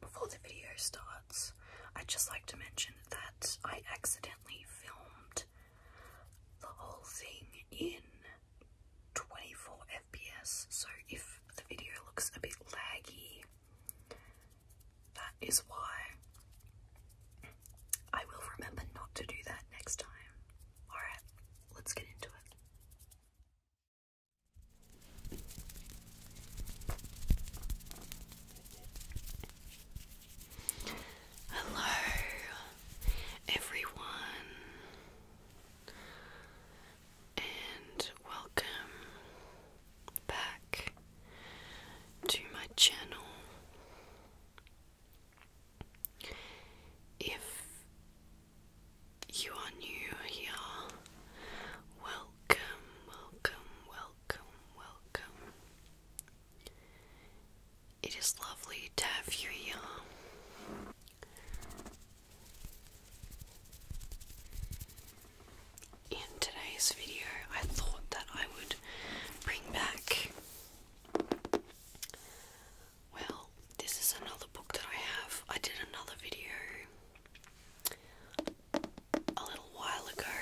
before the video starts, I'd just like to mention that I accidentally filmed the whole thing in 24 FPS, so if the video looks a bit laggy, that is why. I will remember not to do that next time. Alright, let's get into it. Hello, everyone, and welcome back to my channel. If you are new here, welcome, welcome, welcome, welcome. It is lovely to have you here. In today's video, I thought that I would bring back, well, this is another book that I have. I did another video a little while ago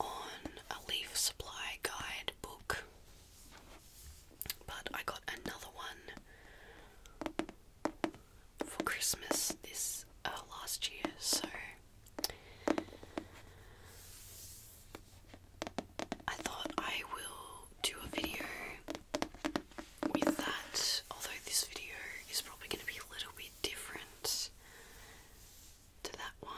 on a leaf supply guide book, but I got another one for Christmas this uh, last year, so I thought I will do a video with that, although this video is probably going to be a little bit different to that one.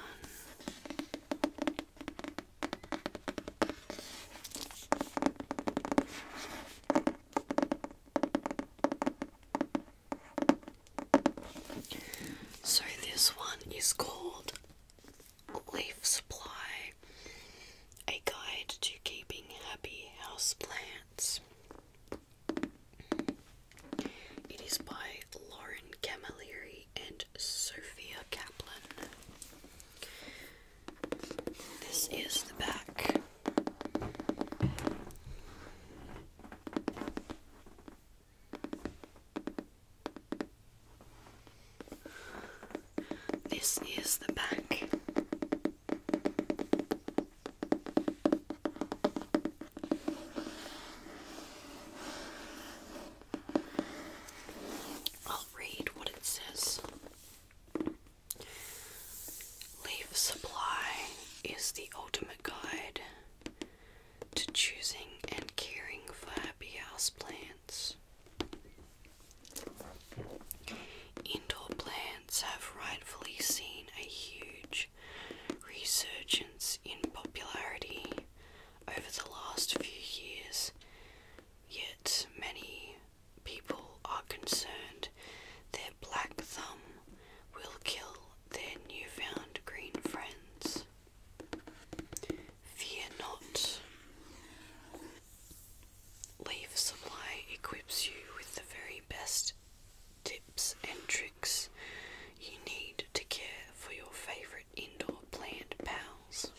So, this one is called Leaf Supply. A guide to keeping happy houseplants. It is by Lauren Camilleri and Sophia Kaplan. This is the back. This is the back. I'll read what it says. Leaf supply is the ultimate guide to choosing and caring for happy Indoor plants have rightfully seen a huge resurgence in popularity over the last few years, yet many people are concerned their black thumb will kill their newfound green friends. Fear not. Leaf Supply equips you with the very best tips and tricks you need to care for your favourite indoor plant pals.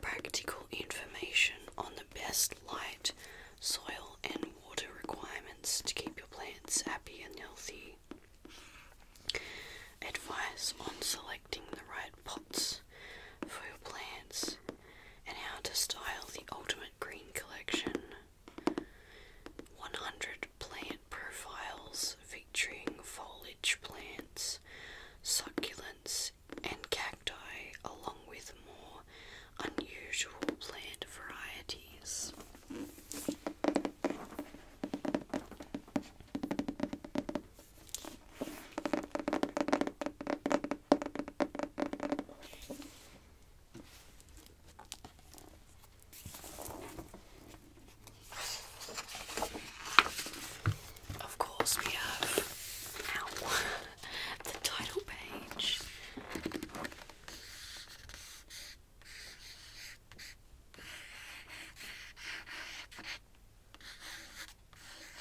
Practical information on the best light, soil, and water requirements to keep your plants happy and healthy. Advice on selecting the right pots for plants and how to style the ultimate green collection. 100 plant profiles featuring foliage plants, succulents, and cacti, along with more unusual plant varieties. Of course, we have now the title page.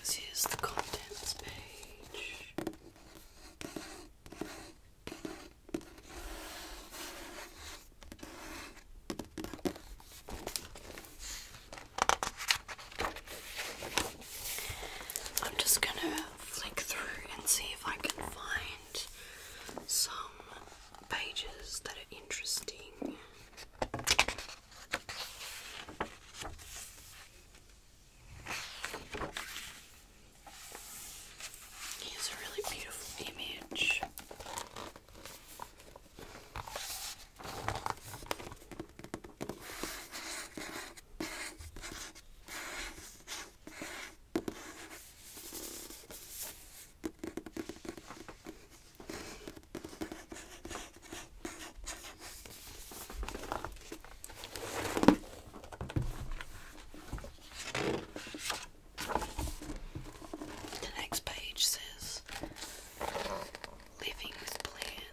This is the contents page. I'm just gonna flick through and see if I can find some pages that are interesting. Here's a really beautiful image. The next page says Living with Plan.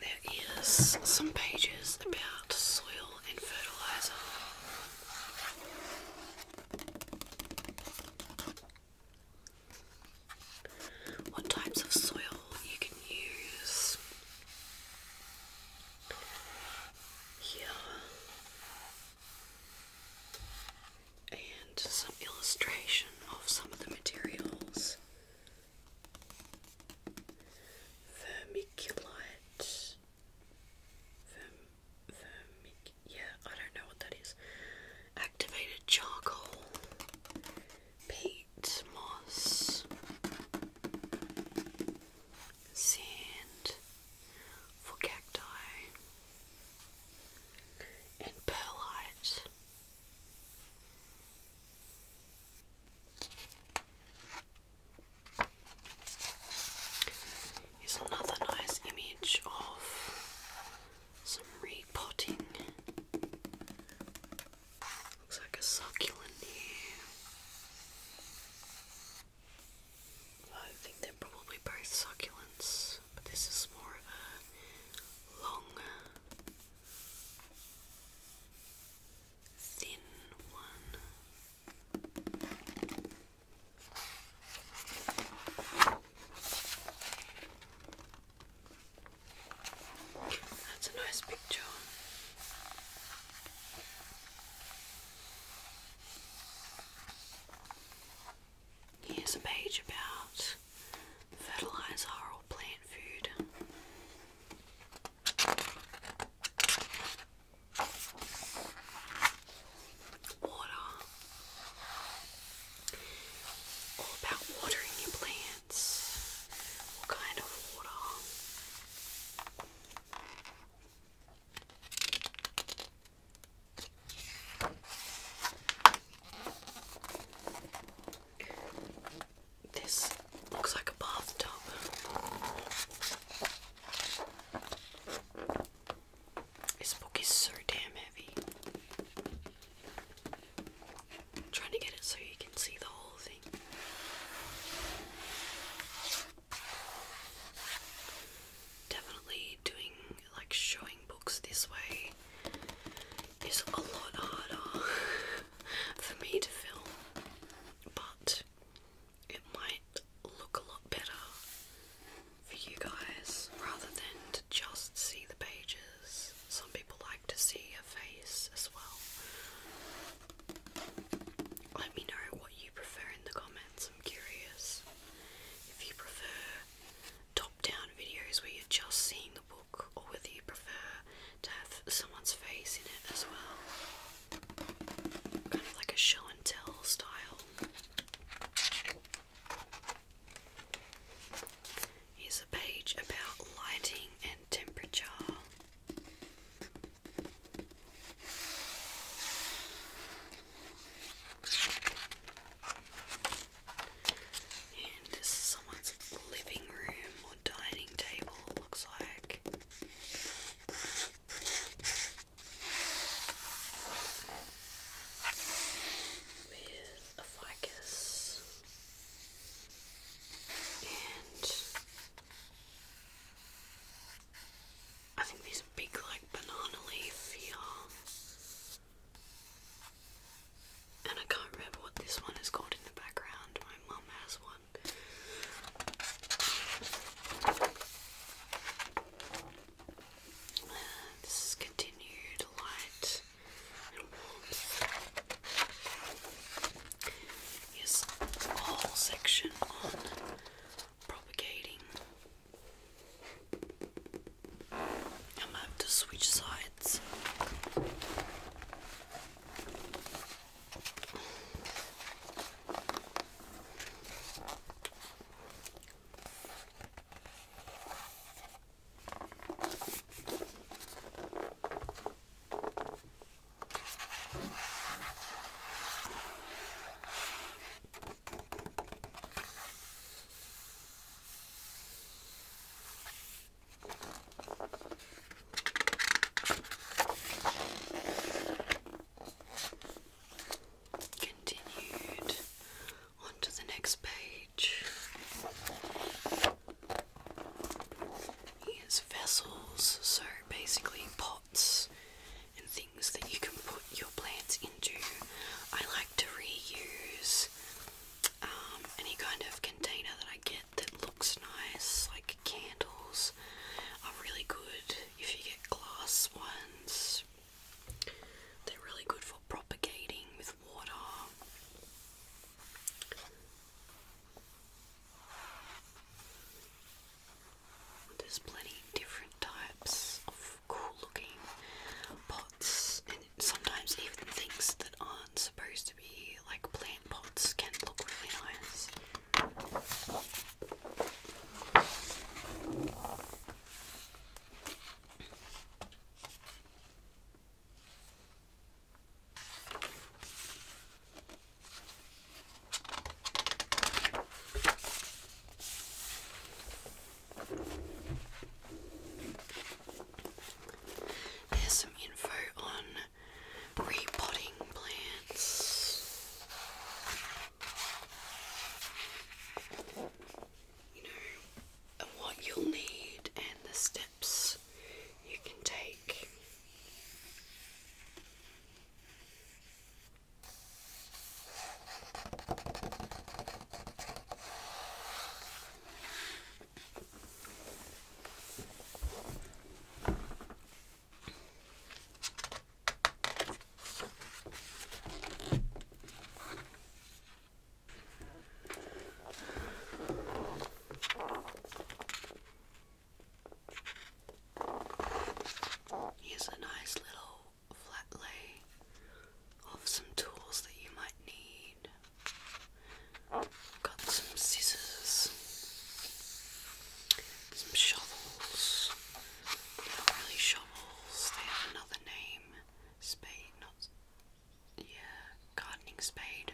There is some pages about soil and fertilizer. What types of soil you can use. Here and some illustration of some of the materials. Vermiculite. Verm, vermic, yeah, I don't know what that is. Activated charcoal. Peat moss. Sand for cacti and perlite Here's another nice image of some repotting. Looks like a succulent here. I think they're probably both succulents but this is more of a long, thin one. That's a nice picture. Here's a page about fertilizer or plant food. Water. All about watering your plants. What kind of water? This looks like a bathtub. This book is so damn heavy. trying to get it so you can see the whole thing. Definitely doing like showing books this way is a lot harder for me to film, but it might look a lot better for you guys rather than to just see the pages. Some people like to see a face as well. Let me know what you prefer in the comments. I'm curious if you prefer top down videos where you're just seeing the book, or whether you prefer to have someone's face in it as well. Kind of like a show and tell style. Here's a page about lighting and temperature this is someone's living room or dining table, looks like. With a ficus and I think there's big like banana leaf here and I can't remember what this one is called in the background. My mum has one. this is continued light and warmth. Yes, whole section on propagating I'm gonna to switch sides. Continued on the next page. Here's vessels, so basically pots and things that you can put your plants into. I like to reuse um, any kind of container that I get that looks nice, like candles are really good if you get glass ones. They're really good for propagating with water. There's plenty different types of cool looking pots and sometimes even things that aren't supposed to be like plant pots can look really nice. There's some info on repotting plants. You know, and what you'll need and the steps you can take. He's a nice little flat lay of some tools that you might need. Got some scissors, some shovels. They're not really shovels, they have another name. Spade, not. Yeah, gardening spade.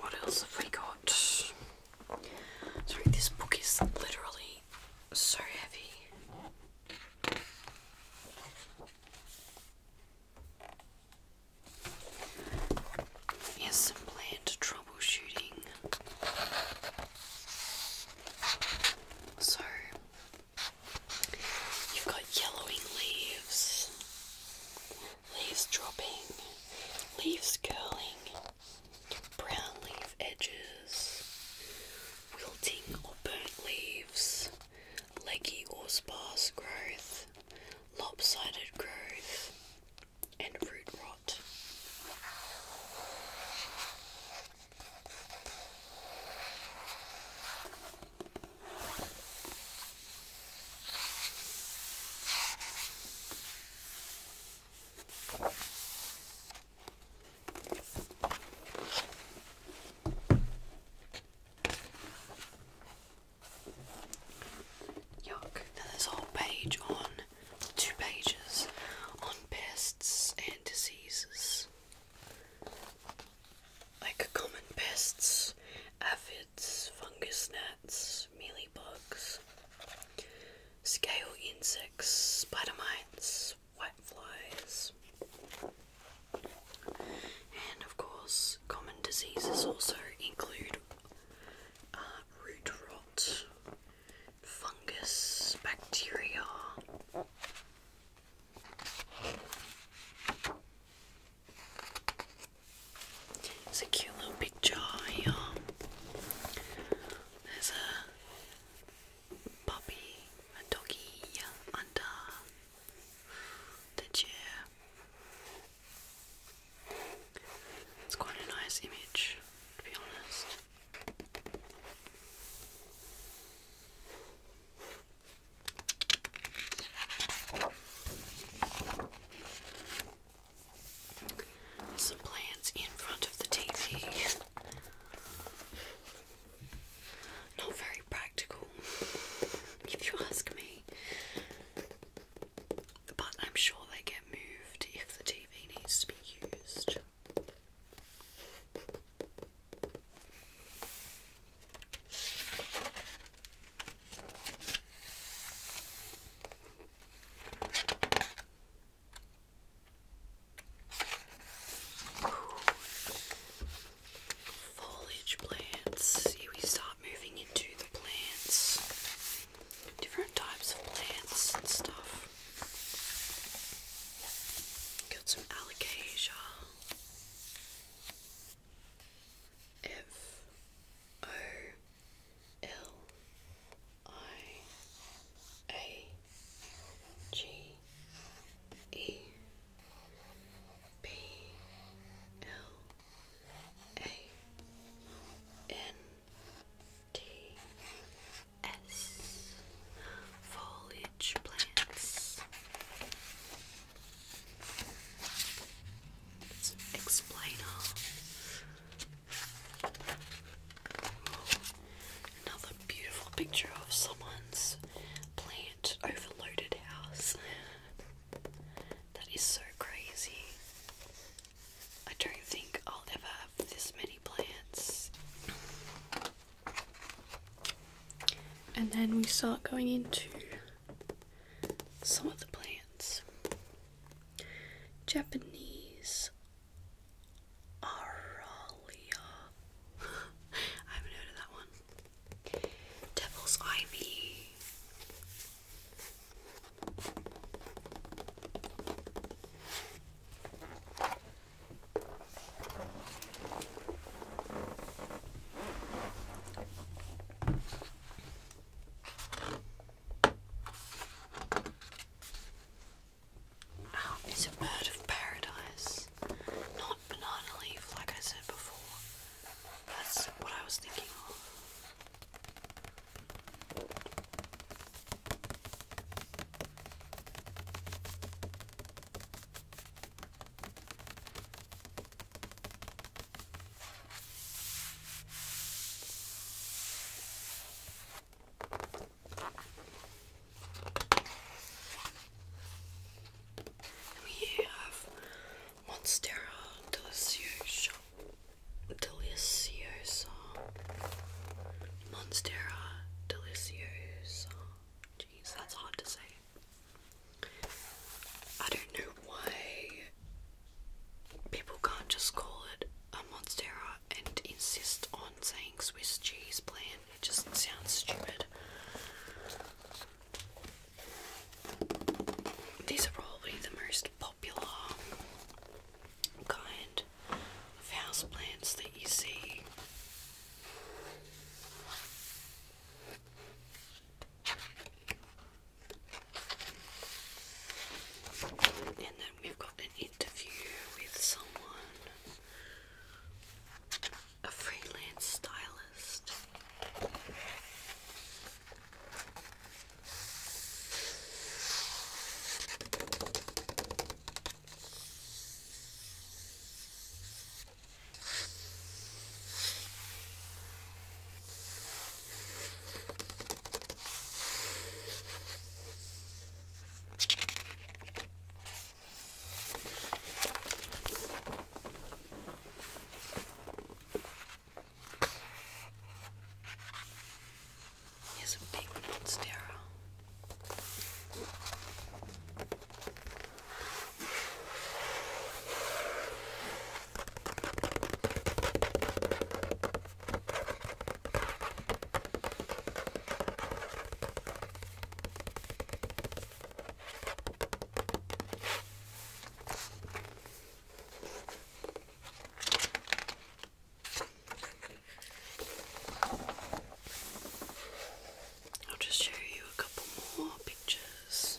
What else have we got? Sorry, this book is literally so heavy. Here's some troubleshooting. So, you've got yellowing leaves, leaves dropping, leaves curling, brown leaf edges, wilting or burnt leaves, leggy or sparse growth, lopsided growth, and root rot. Yuck, there's a whole page on two pages on pests and diseases. Like common pests aphids, fungus gnats, mealybugs, scale insects, spider mites, white flies, and of course, common diseases also include uh, root rot, fungus, bacteria. It's a cute little picture here. There's a puppy, a doggy under the chair. It's quite a nice image, to be honest. Some plants in front of the TV. Not very practical, if you ask me. But I'm sure they get moved if the TV needs to be used. Foliage plants. Here we start moving into the plants, different types of plants and stuff. Got some alocasia. F O L I A G E P L A N T S foliage plants let Another beautiful picture of someone's plant overloaded house. That is so crazy. I don't think I'll ever have this many plants. And then we start going into some of the plants. Japanese Aralia. I haven't heard of that one. Devil's Ivy. It's a bird of paradise, not banana leaf like I said before. That's what I was thinking of. We have Monstera Delicioso, Delicioso, Monstera Delicioso. Jeez, that's hard to say. I don't know why people can't just call it a monstera and insist on saying Swiss cheese plan. It just sounds stupid. These are probably the most popular kind of house plants that you see. And then we've got an interview with someone, a freelance stylist. Here's a big one on sterile. I'll just show you a couple more pictures.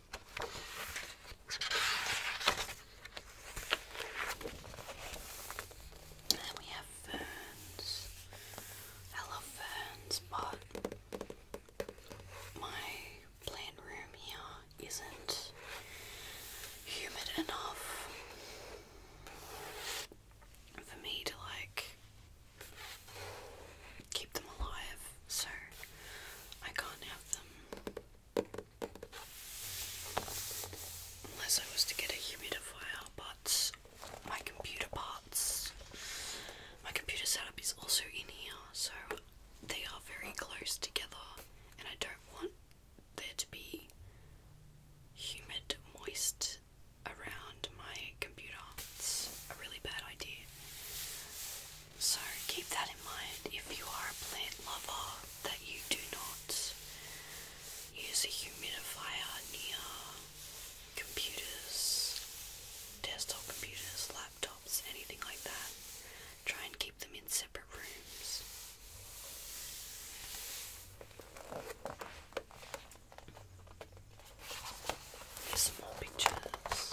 And then we have ferns. I but my plant room here isn't humid enough for me to like keep them alive, so I can't have them Unless I was to get a humidifier, but my computer parts, my computer setup is also in here, so they are very close together, and I don't want there to be humid, moist around my computer. It's a really bad idea. So keep that in mind if you are a plant lover that you do not use a humidifier near computers, desktop computers, laptops, anything like that. Try and keep them in separate rooms. Here's pictures.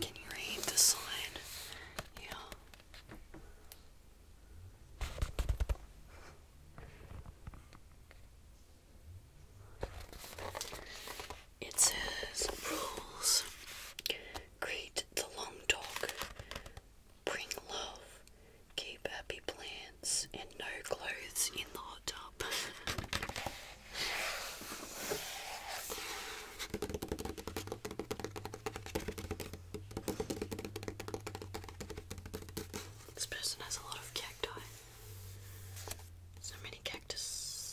Can you read this line? Yeah. It says rules. Greet the long dog Bring love. Keep happy plants and no clothes in the hot tub. This person has a lot of cacti. So many cactus.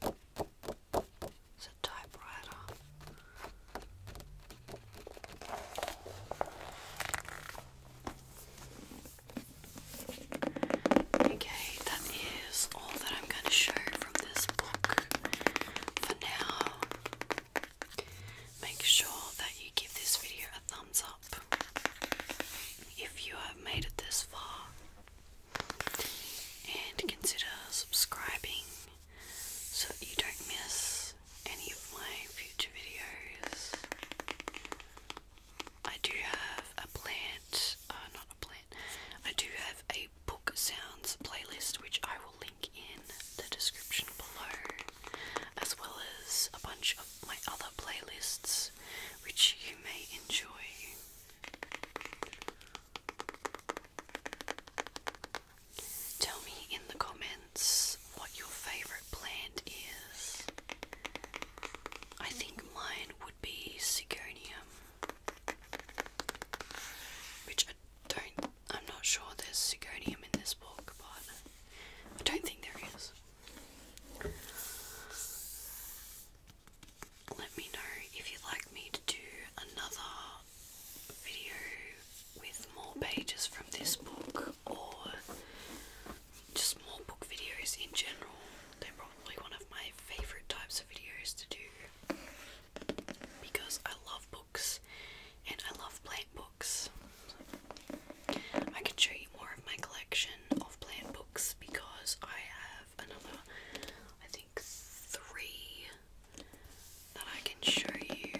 It's a typewriter. Okay, that is all that I'm going to show from this book for now. Make sure that you give this video a thumbs up if you have made it this far and consider subscribing so that you don't miss any of my future videos. I do have a plant, uh, not a plant, I do have a book sounds playlist which I will link in the description below, as well as a bunch of my other playlists which you may enjoy. Tell me in the comments what your favourite plant is. I think mine would be Sigonium, which I don't, I'm not sure there's Sigonium in this book, but I don't think there is let me know if you like me to do another video with more pages from this book or just more book videos in general. They're probably one of my favourite types of videos to do because I love books and I love plant books. I can show you more of my collection of plant books because I have another, I think, three that I can show you.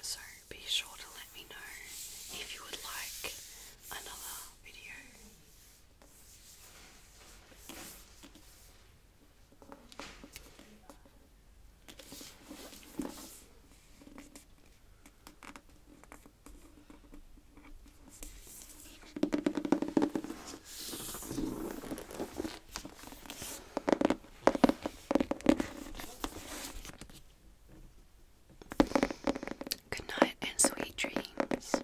So be sure to let me know if you would like another video. Good night and sweet dreams.